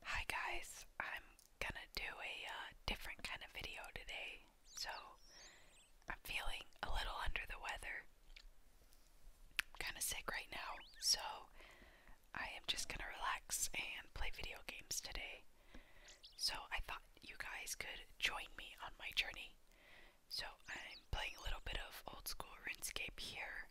Hi guys, I'm gonna do a uh, different kind of video today. So, I'm feeling a little under the weather. I'm kind of sick right now, so I am just gonna relax and play video games today. So, I thought you guys could join me on my journey. So, I'm playing a little bit of old school RuneScape here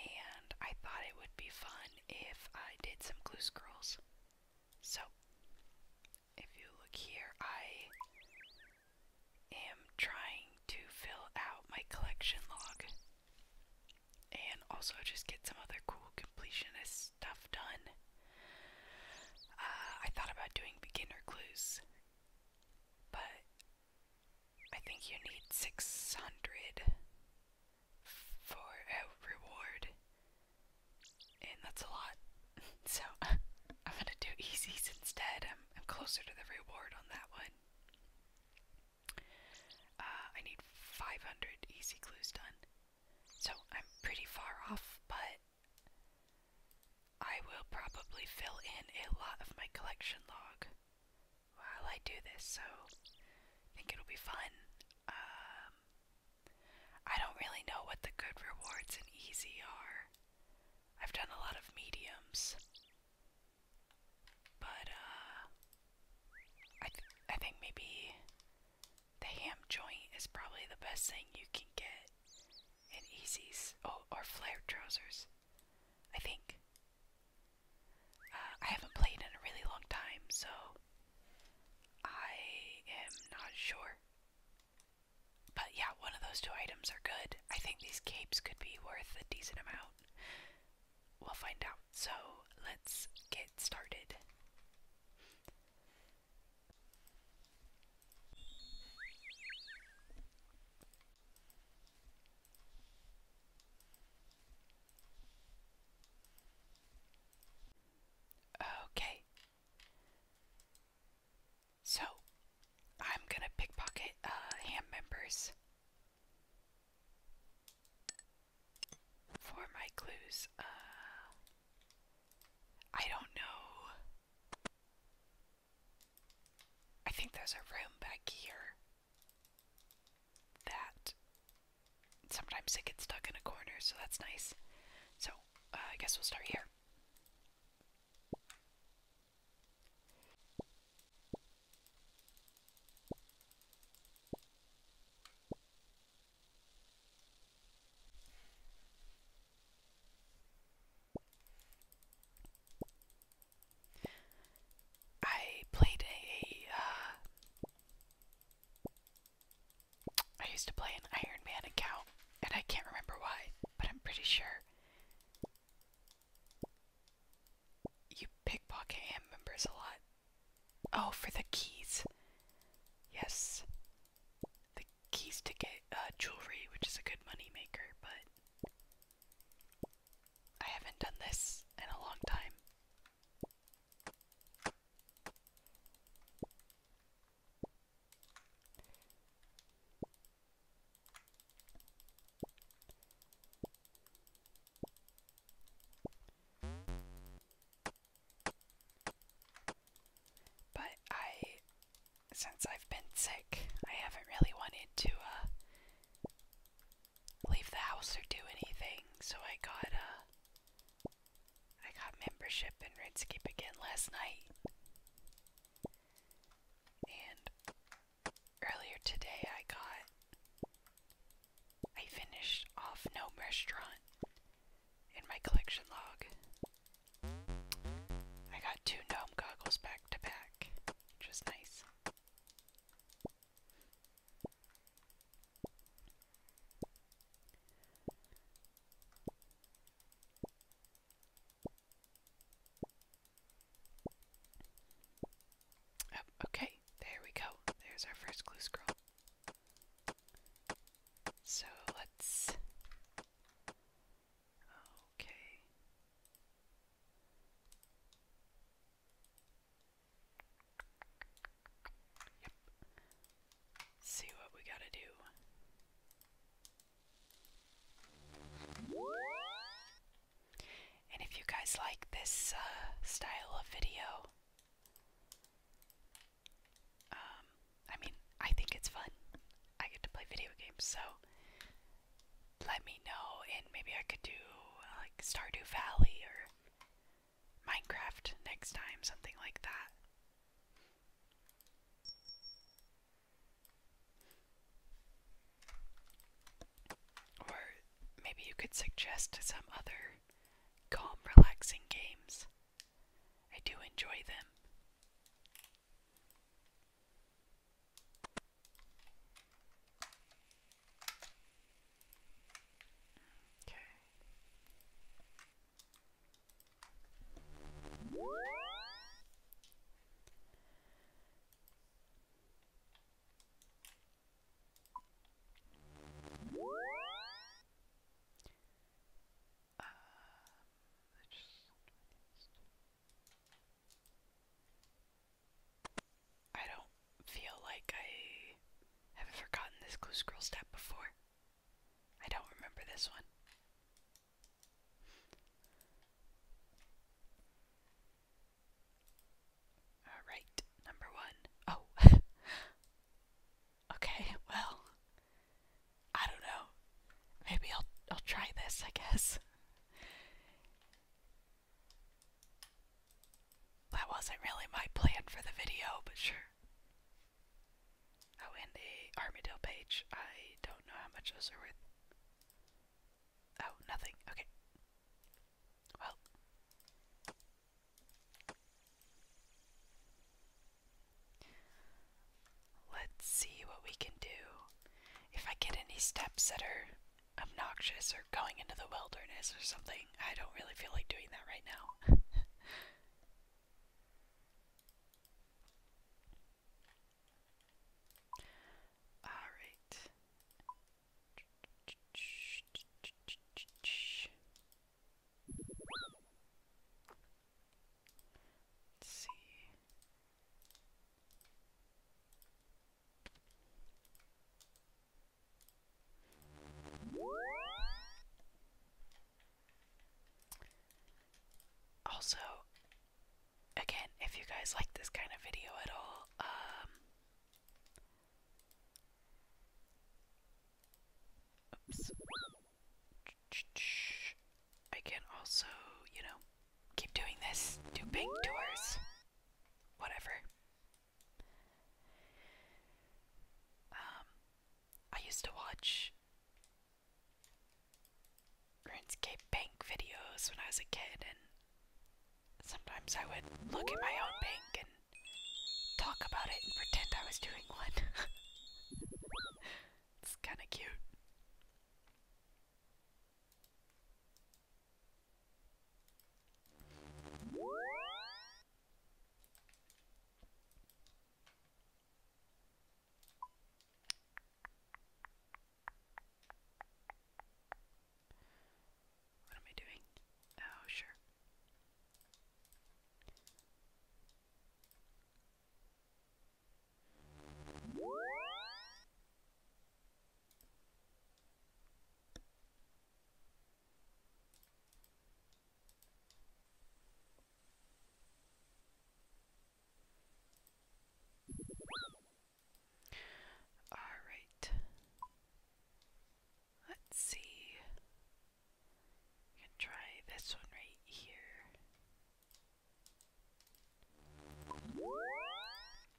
and I thought it would be fun if I did some glue scrolls. So, if you look here, I am trying to fill out my collection log and also just get some other cool completionist stuff done. Uh, I thought about doing beginner clues, but I think you need 600 for a reward, and that's a lot. So I'm gonna do easies instead. I'm, closer to the reward on that one. Uh, I need 500 easy clues done, so I'm pretty far off, but I will probably fill in a lot of my collection log while I do this, so I think it'll be fun. Um, I don't really know what the good rewards and easy are. I've done a lot of mediums, but uh, I I think maybe the ham joint is probably the best thing you can get in easies. Oh, or flared trousers. I think I haven't played in a really long time, so I am not sure. But yeah, one of those two items are good. I think these capes could be worth a decent amount. We'll find out. So let's get started. Okay. So, I'm gonna pickpocket uh, ham members for my clues. Uh, I don't know. I think there's a room back here that sometimes it gets stuck in a corner, so that's nice. So, uh, I guess we'll start here. I played a. Uh, used to play an Iron Man account, and I can't remember why, but I'm pretty sure you pickpocket AM members a lot. Oh, for the keys. Yes. The keys to get uh, jewelry, which is a good money maker, but I haven't done this in a long time. But I, since I've been sick, I haven't really wanted to uh, leave the house or do anything. So I got uh I got membership in Redscape again last night. And earlier today I got I finished off Gnome Restaurant in my collection log. I got two gnome goggles back to back, which was nice. Oh, okay, there we go. There's our first clue scroll. So let's. Okay. See what we gotta do. And if you guys like this uh, style of video, um, I mean, I think it's fun. I get to play video games, so let me know, and maybe I could do like Stardew Valley or Minecraft next time, something like that. maybe you could suggest some other calm, relaxing games. I do enjoy them. Okay. Um, just I don't feel like I haven't forgotten this glue scroll step before. I don't remember this one. Alright, number one. Oh. okay, well. I don't know. Maybe I'll I'll try this, I guess. That wasn't really my plan for the video, but sure. Oh, and the Armadale page. I don't know how much those are worth. Oh, nothing. Okay. Well. Let's see what we can do. If I get any steps that are obnoxious or going into the wilderness or something. I don't really feel like doing that right now. Alright. Let's see. Also, again, if you guys like this kind of video at all, um, I can also, you know, keep doing this, do bank tours, whatever. Um, I used to watch RuneScape bank videos when I was a kid, and sometimes I would look at my own bank and talk about it and pretend I was doing one. it's kind of cute. What am I doing? Oh, sure. All right. Let's see. We can try this one right here.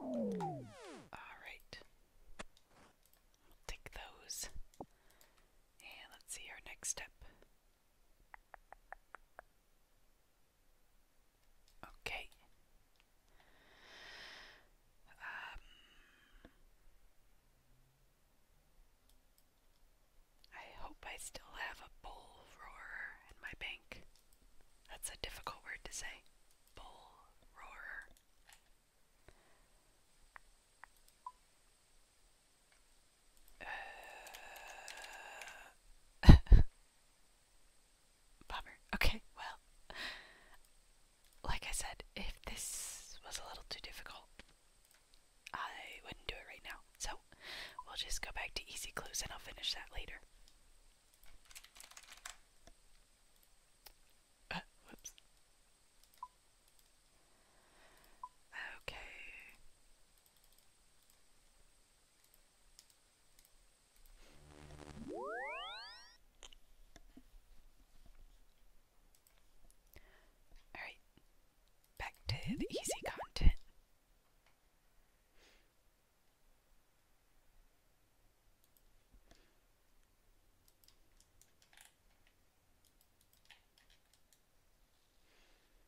All take those. And let's see our next step. Okay. Um, I hope I still have a bull roarer in my bank. That's a difficult word to say. Bull roarer. Okay, well, like I said, if this was a little too difficult, I wouldn't do it right now. So, we'll just go back to easy clues and I'll finish that later. Uh, okay. Alright, back to the easy content.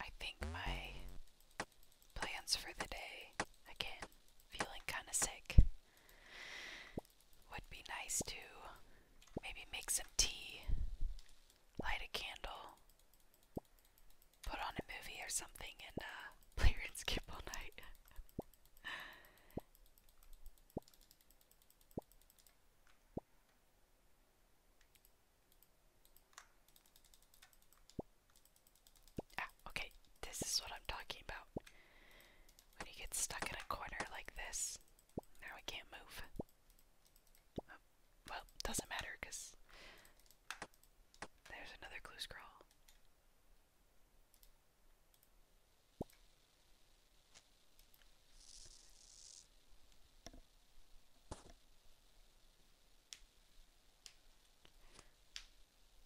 I think my plans for the day again, feeling kind of sick would be nice to maybe make some tea, light a candle, put on a movie or something, and uh, play skip all night. ah, okay, this is what I'm talking about. When you get stuck in a corner like this, now we can't move. Oh, well, doesn't matter there's another clue scroll.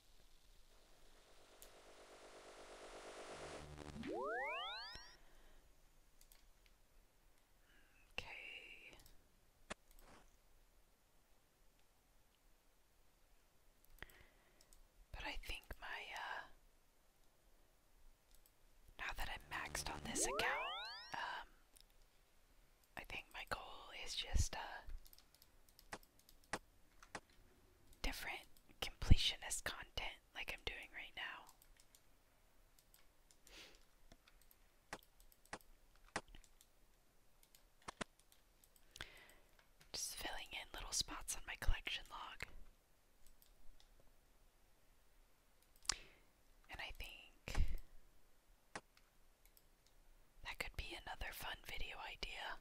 Okay. But I think my, uh, now that I'm maxed on this account, um, I think my goal is just, uh, different completionist content like I'm doing right now. Just filling in little spots on my collection log. And I think that could be another fun video idea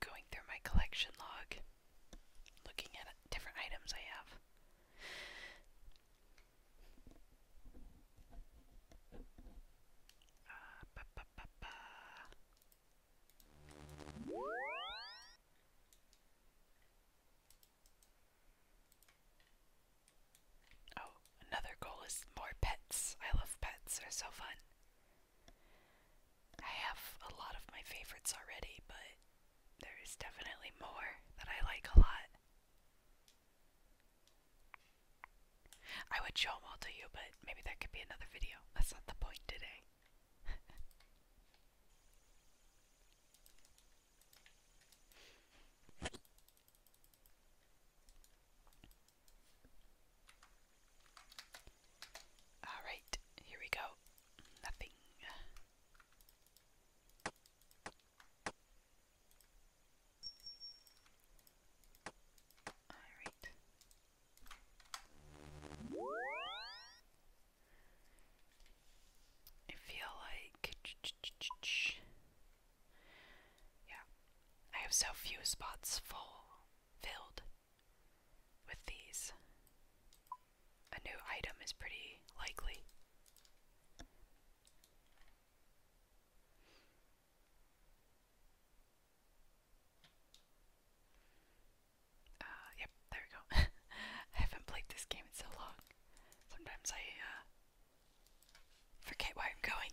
going through my collection log, looking at different items I have. Ah, oh, another goal is more pets. I love pets, they're so fun. I have a lot of my favorites already, but there is definitely more that I like a lot. I would show them all to you, but maybe that could be another video. That's not the point today. Alright, here we go. Nothing. Alright. I feel like. Yeah. I have so few spots full filled with these. A new item is pretty likely. Uh, yep, there we go. I haven't played this game in so long. Sometimes I, uh, forget where I'm going.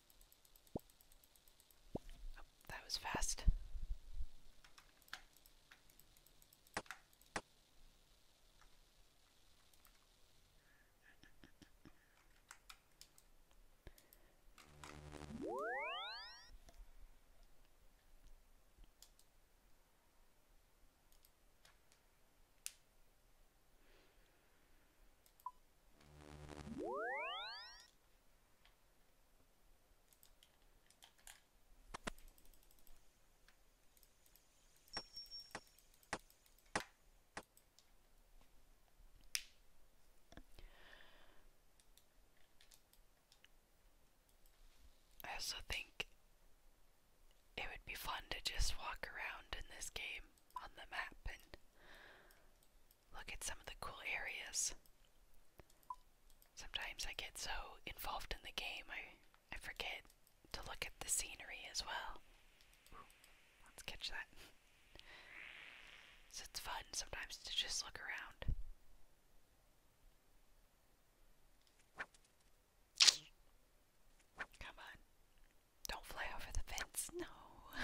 Oh, that was fast. I also think it would be fun to just walk around in this game on the map and look at some of the cool areas. Sometimes I get so involved in the game I I forget to look at the scenery as well. let's catch that. so it's fun sometimes to just look around. Come on. Don't fly over the fence. No.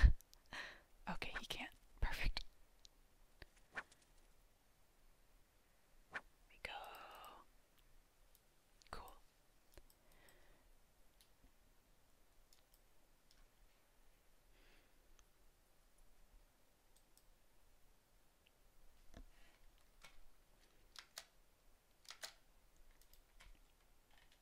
okay, he can't. Perfect. We go. Cool.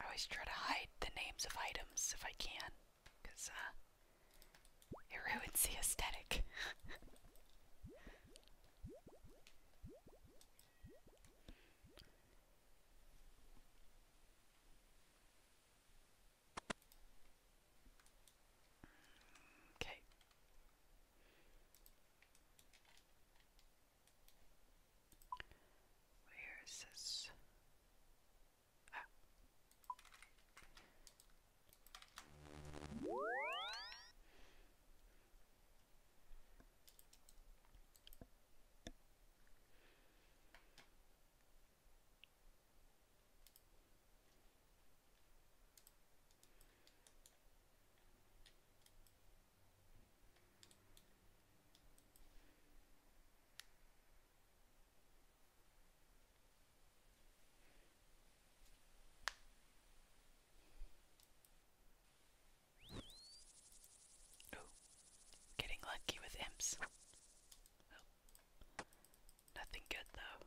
I always try to hide the names of items if I can, because uh, it ruins the aesthetic. Okay. Where is this? Ah getting lucky with imps. Nothing good though.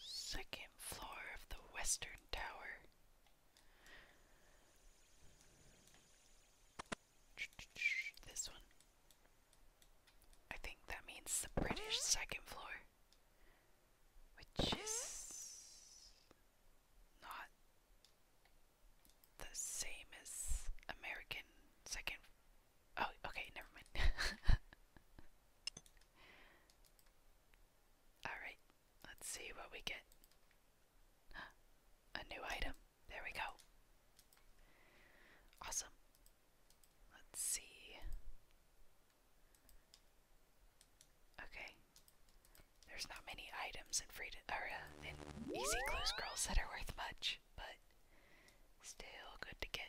Second floor of the Western Tower. This one. I think that means the British second floor, which is not the same as American second Oh, okay, never mind. Alright, let's see what we get. A new item. There we go. Awesome. Let's see. Okay. There's not many items in Freedom or uh, in Easy Clue Girls that are worth much, but still good to get.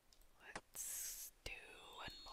Let's do one more.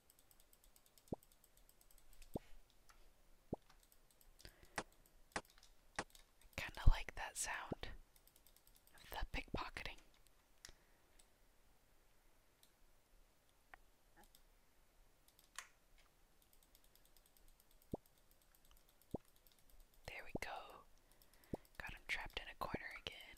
kinda like that sound of the pickpocketing. There we go. Got him trapped in a corner again.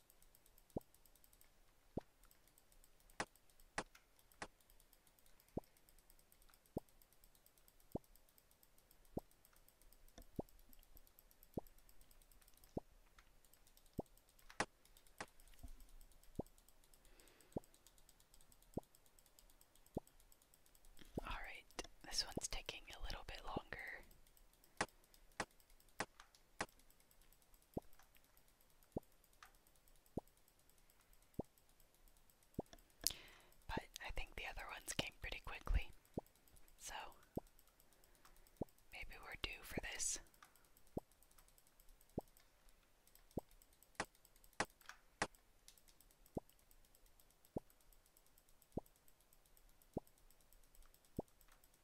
All right, this one's taking a little bit longer. But I think the other ones came pretty quickly, so maybe we're due for this.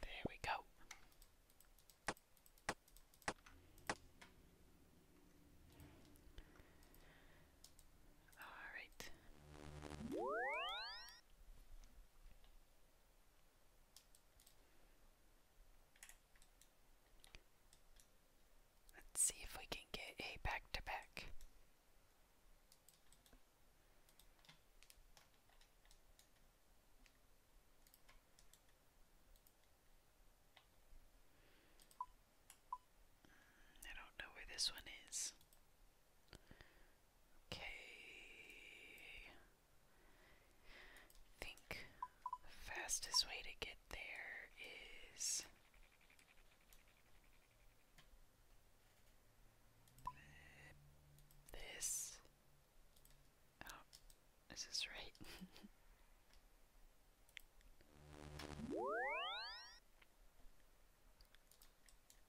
There we go. All right. Let's see if we can get a back to back. I don't know where this one is. Okay. I think the fastest way to get there is this. Oh, is right?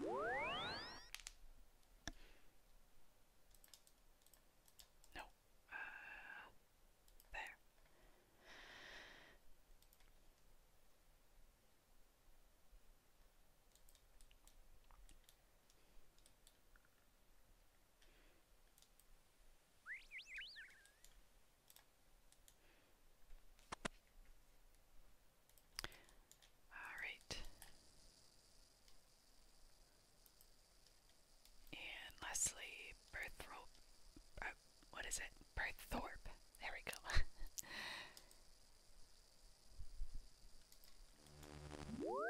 No. Uh, there. All right. And lastly, Berthrop. Uh, what is it? Berthorpe. There we go. Uh,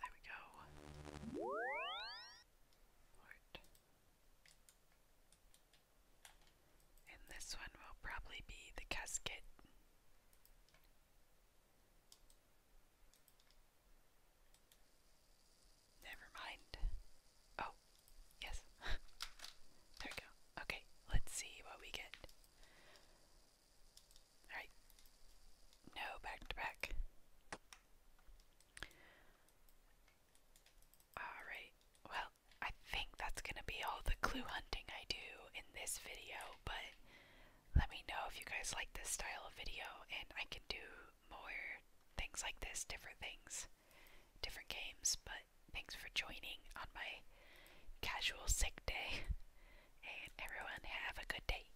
there we go. Port. And this one will probably be the casket. Never mind. Oh, yes. there we go. Okay, let's see what we get. Alright. No back to back. Alright, well, I think that's gonna be all the clue hunting I do in this video, but let me know if you guys like this style of video and I can do more things like this, different things, different games, but thanks for joining on my casual sick day, and everyone have a good day.